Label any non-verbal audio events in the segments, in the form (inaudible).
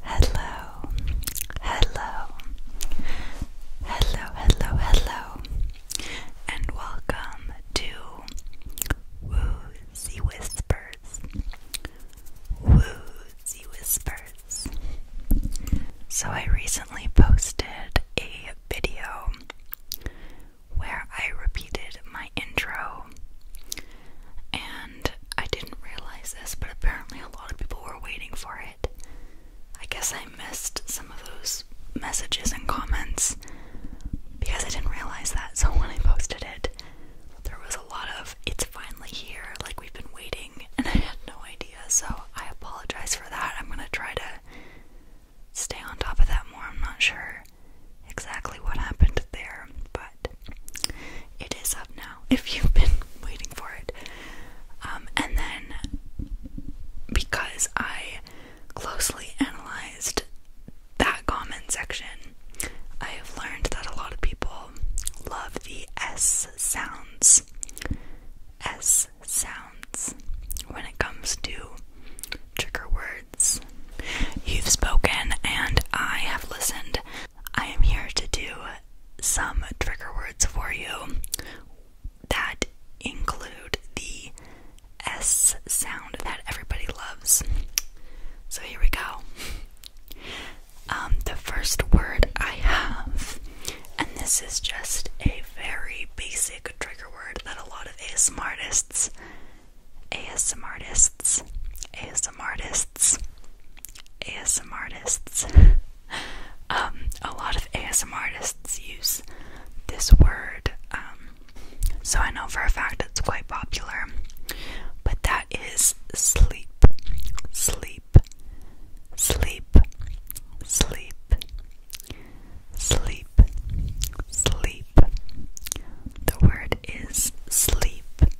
Hello, hello, hello, hello, hello, and welcome to Woozy Whispers. Woozy Whispers. So, I recently posted a video where I repeated my intro. And I didn't realize this, but apparently a lot of people were waiting for it. I guess I missed some of those messages and comments because I didn't realize that. So when I posted it, there was a lot of it's finally here, like we've been waiting, and (laughs) I had no idea. So I apologize for that. I'm gonna try to stay on top of that more. I'm not sure exactly what happened there, but it is up now (laughs) if you've been waiting for it. Um, and then because I closely analyzed that comment section, I have learned that a lot of people love the S sounds. S sounds when it comes to trigger words. You've spoken, and I have listened I am here to do some trigger words for you that include the S sound that everybody loves. So here we go. Um, the first word I have, and this is just a very basic trigger word that a lot of ASM artists, ASM artists, ASM artists ASM artists. Um, a lot of ASM artists use this word, um, so I know for a fact it's quite popular. But that is sleep, sleep, sleep, sleep, sleep, sleep. The word is sleep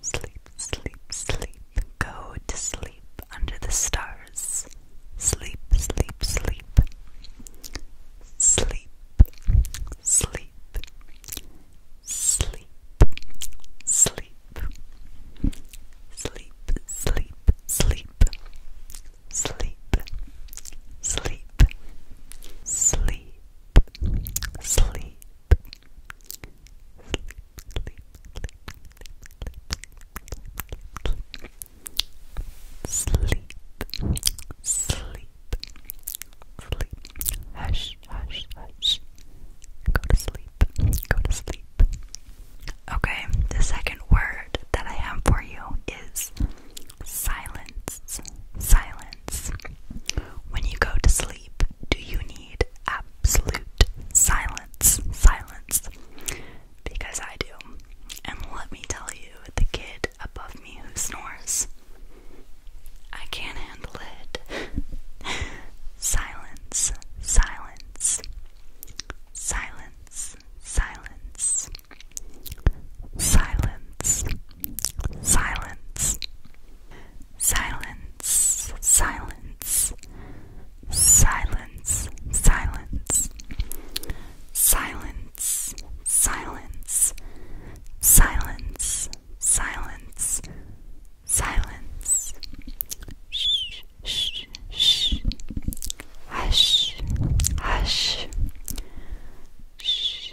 Sleep, sleep, sleep, go to sleep under the stars. Sleep, sleep, sleep. Sleep, sleep, sleep, sleep. Sleep, sleep, sleep. Sleep, sleep, sleep. Sleep, sleep, sleep, sleep, sleep, hush, hush, hush, go to sleep, go to sleep. Okay, the second word that I have for you is silence, silence. When you go to sleep, do you need absolute silence? Silence. Because I do. And let me tell you, the kid above me who snores, I can't handle it. (laughs) silence, silence, silence, silence, silence, silence silence, silence, silence, silence, silence, silence, silence, silence, silence, shh, shh, shh, hush, hush, shh.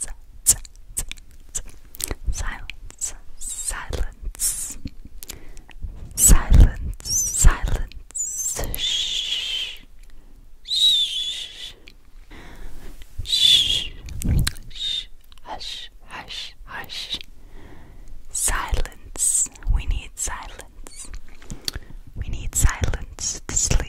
si silence, silence, silence, silence, shh, shh, shh, shh, hush, hush, hush, silence. We need silence. We need silence to sleep.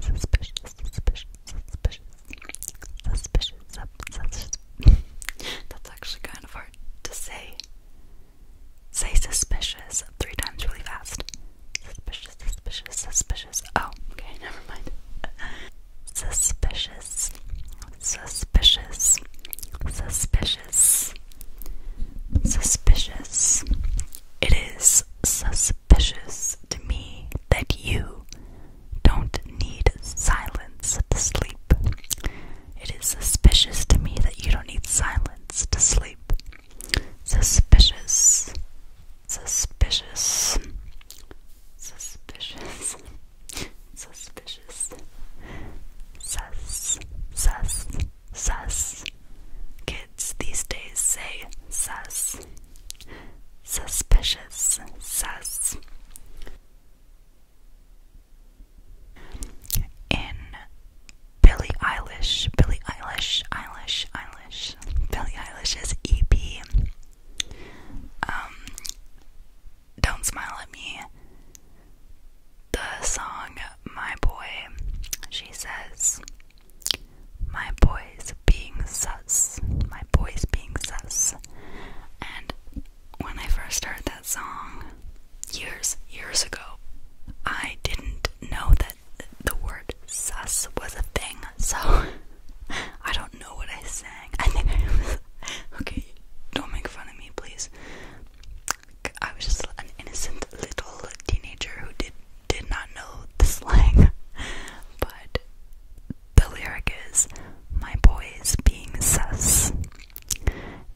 Suspicious, suspicious, suspicious, suspicious, suspicious. That's actually kind of hard to say. Say suspicious three times really fast. Suspicious, suspicious, suspicious. Oh, okay, never mind. Suspicious, suspicious, suspicious, suspicious. It is suspicious suspicious to me that you don't need silence to sleep. It is suspicious to me that you don't need silence to sleep. Suspicious. Suspicious. Suspicious. Suspicious. Sus. Sus. Sus. Kids these days say sus suspicious, sus. In Billie Eilish, Billie Eilish, Eilish, Eilish, Billie Eilish's EP, um, Don't Smile at Me, the song My Boy, she says, my boys being sus. My boys being sus. And when I first heard that song years, years ago, I didn't know that the word sus was a thing, so (laughs) I don't know what I sang. (laughs) I think I was. Okay, don't make fun of me, please. I was just an innocent little teenager who did did not know the slang, (laughs) but the lyric is my boys being sus.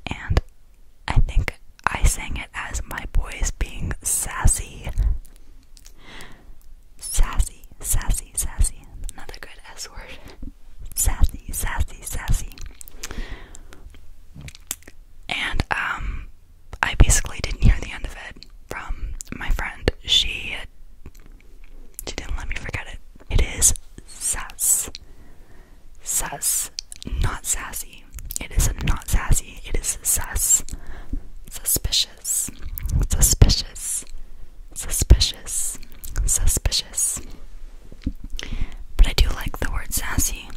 And I think I sang it as my boys being sassy. Sassy, sassy, sassy. Another good S word. Sassy, sassy, sassy. And um I basically didn't hear the end of it from my friend. She she didn't let me forget it. It is sass. Sass. Not sassy. It is not sassy. It is sass. Suspicious. Suspicious. Suspicious. Suspicious. But I do like the word sassy.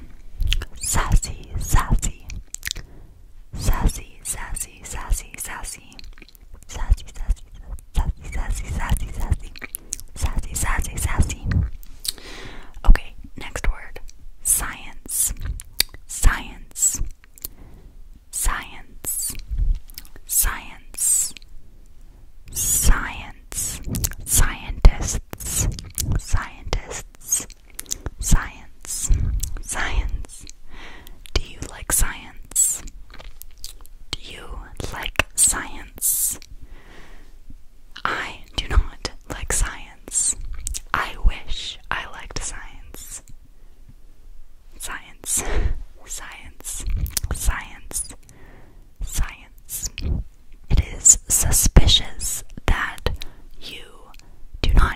Sassy. Sassy sassy, sassy, sassy, sassy, sassy, sassy, sassy, sassy, sassy, sassy, sassy, sassy. Okay, next word: science, science, science, science, science, scientists, scientists, science. Science. Do you like science? Do you like science? I do not like science. I wish I liked science. Science. (laughs) Science. Science. Science. It is suspicious that you do not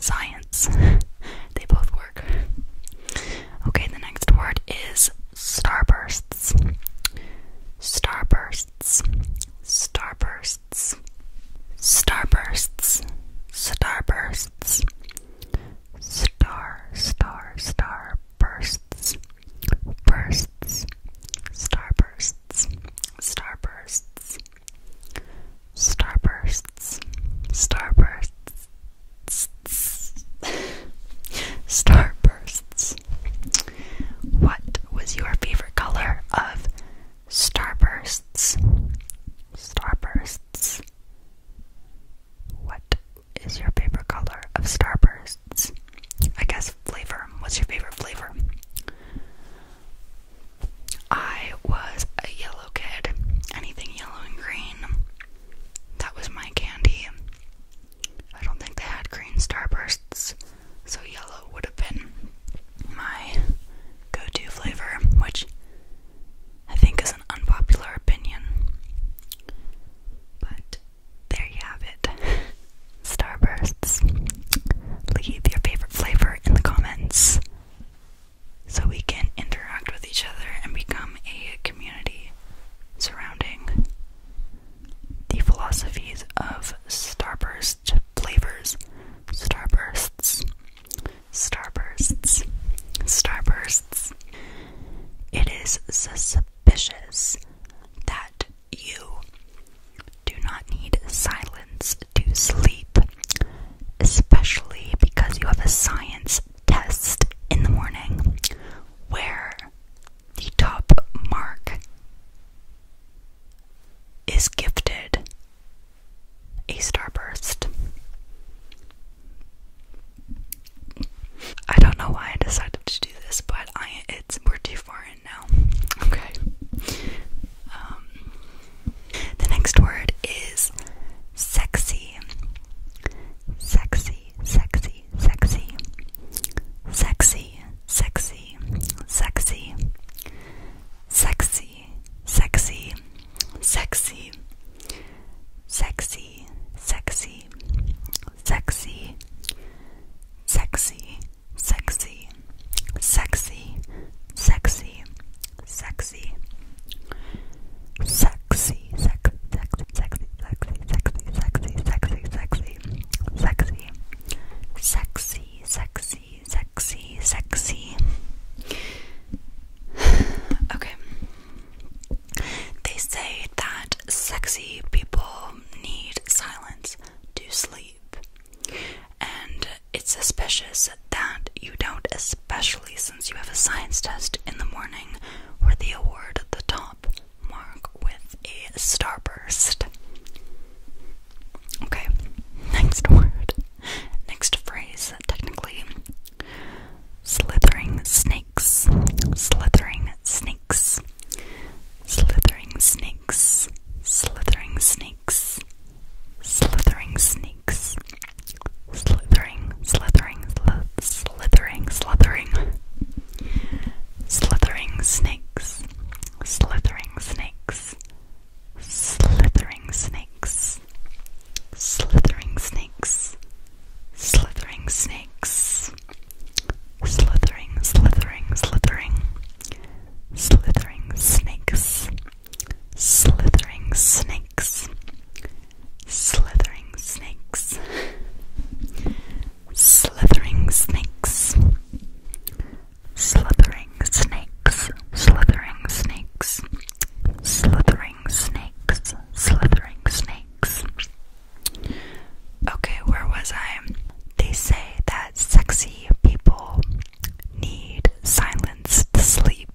science. (laughs) they both work. Okay, the next word is starbursts. Starbursts. Starbursts. Starbursts. Starbursts. Star, star, star Bursts. Starbursts. Starbursts starbursts, starbursts, starbursts. What was your favorite color of starbursts? Starbursts. What is your favorite color of starbursts? I guess flavor. What's your favorite flavor? I was a yellow kid. Anything yellow and green. That was my candy. I don't think they had green starbursts, so yellow would have been my go to flavor, which I think is an unpopular opinion. But there you have it. (laughs) Starbursts. Leave your favorite flavor in the comments so we can interact with each other and become a community surrounding the philosophies of starburst flavors, starbursts, starbursts, starbursts. It is suspicious that you do not need silence to sleep especially because you have a science test in the morning where the top mark is gifted a starburst. I don't know why I decided to do this, but I it's we're too far in now. Okay. Um, the next word is sexy. Sexy, sexy, sexy. Sexy, sexy, sexy. Sexy, sexy, sexy. Sexy, sexy, sexy. Sexy, sexy, sexy, sexy, sexy, sexy, sex, sexy, sexy, sexy, sexy, sexy, sexy, sexy, sexy, sexy, sexy, sexy, sexy. (sighs) Okay. They say that sexy people need silence to sleep, and it's suspicious that you don't especially since you have a science test in the morning where they award the top mark with a starburst. Okay, (laughs) next word. Next phrase, technically. Slithering snakes. Slithering snakes. Slithering snakes. Slithering snakes. Slithering snakes snakes slithering, slithering, slithering, slithering, slithering snakes, slithering snakes, slithering snakes, slithering snakes, slithering snakes, slithering, slithering, slithering, slithering snakes. Slithering snakes. Slithering snakes. Slithering snakes. Slithering snakes. Slithering snakes. Slithering snakes. Slithering snakes. Okay, where was I? They say that sexy people need silence to sleep.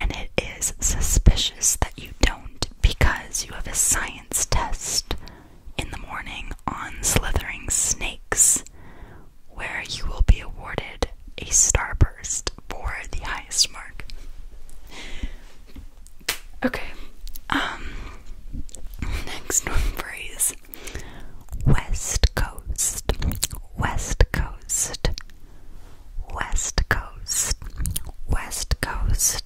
And it is suspicious that you don't because you have a science test in the morning on slithering snakes, where you will be awarded a starburst for the highest mark. Okay, um, next one phrase West Coast, West Coast, West Coast, West Coast,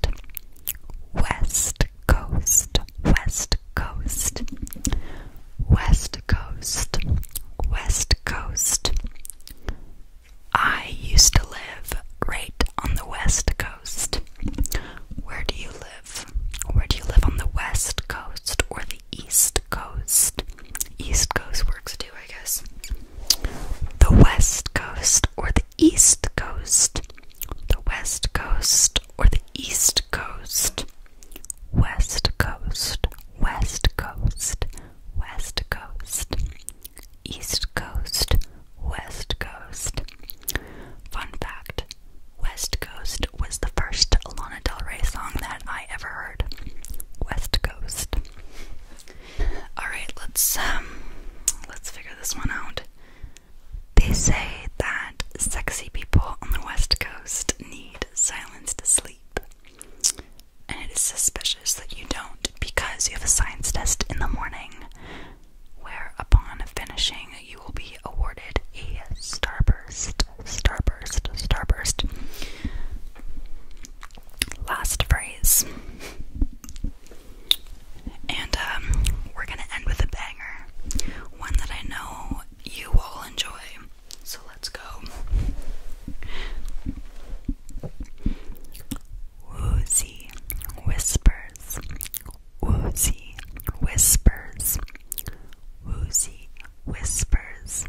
West Coast, West Coast, West Coast, West Coast. I used to live right on the West Coast. Where do you live? Where do you live on the West Coast or the the East Coast. East Coast works too, I guess. The West Coast or the East Coast. The West Coast or the East Coast. West Coast, West Coast, West Coast, East Coast, West Coast. Fun fact West Coast was the first Lana Del Rey song that I ever heard. West Coast. All right, let's um, let's figure this one out. They say that sexy people on the West Coast need silence to sleep, and it is suspicious that you don't because you have a science test in the morning. Where, upon finishing, you will be awarded a starburst, starburst, starburst last phrase. And um, we're gonna end with a banger. One that I know you all enjoy. So let's go. Woozy whispers. Woozy whispers. Woozy whispers.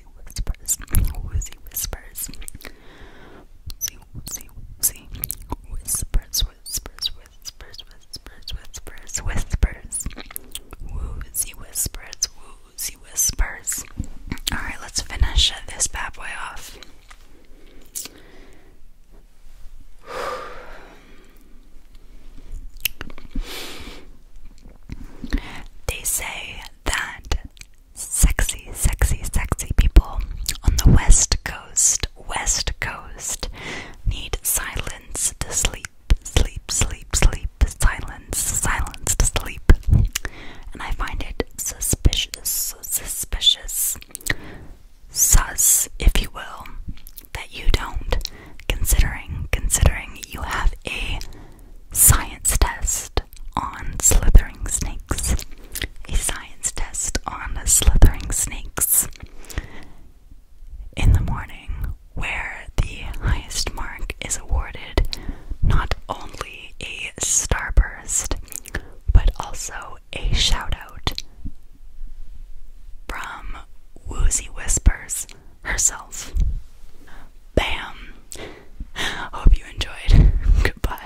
woozy whispers, woozy whispers, woozy, woozy, woozy, whispers, whispers, whispers, whispers, whispers, whispers, woozy whispers, woozy whispers. Alright, let's finish this bad boy off. They say that sexy, sexy, sexy people on the West Coast, West Coast need silence to sleep, sleep, sleep, sleep, silence, silence to sleep. And I find it suspicious, suspicious, sus, if you will, that you don't, considering, considering you have a science test on slithering snakes. A science test on slithering snakes in the morning, where the highest mark is awarded not only a starburst but also a shout out from Woozy Whispers herself. Bam! (laughs) Hope you enjoyed. (laughs) Goodbye.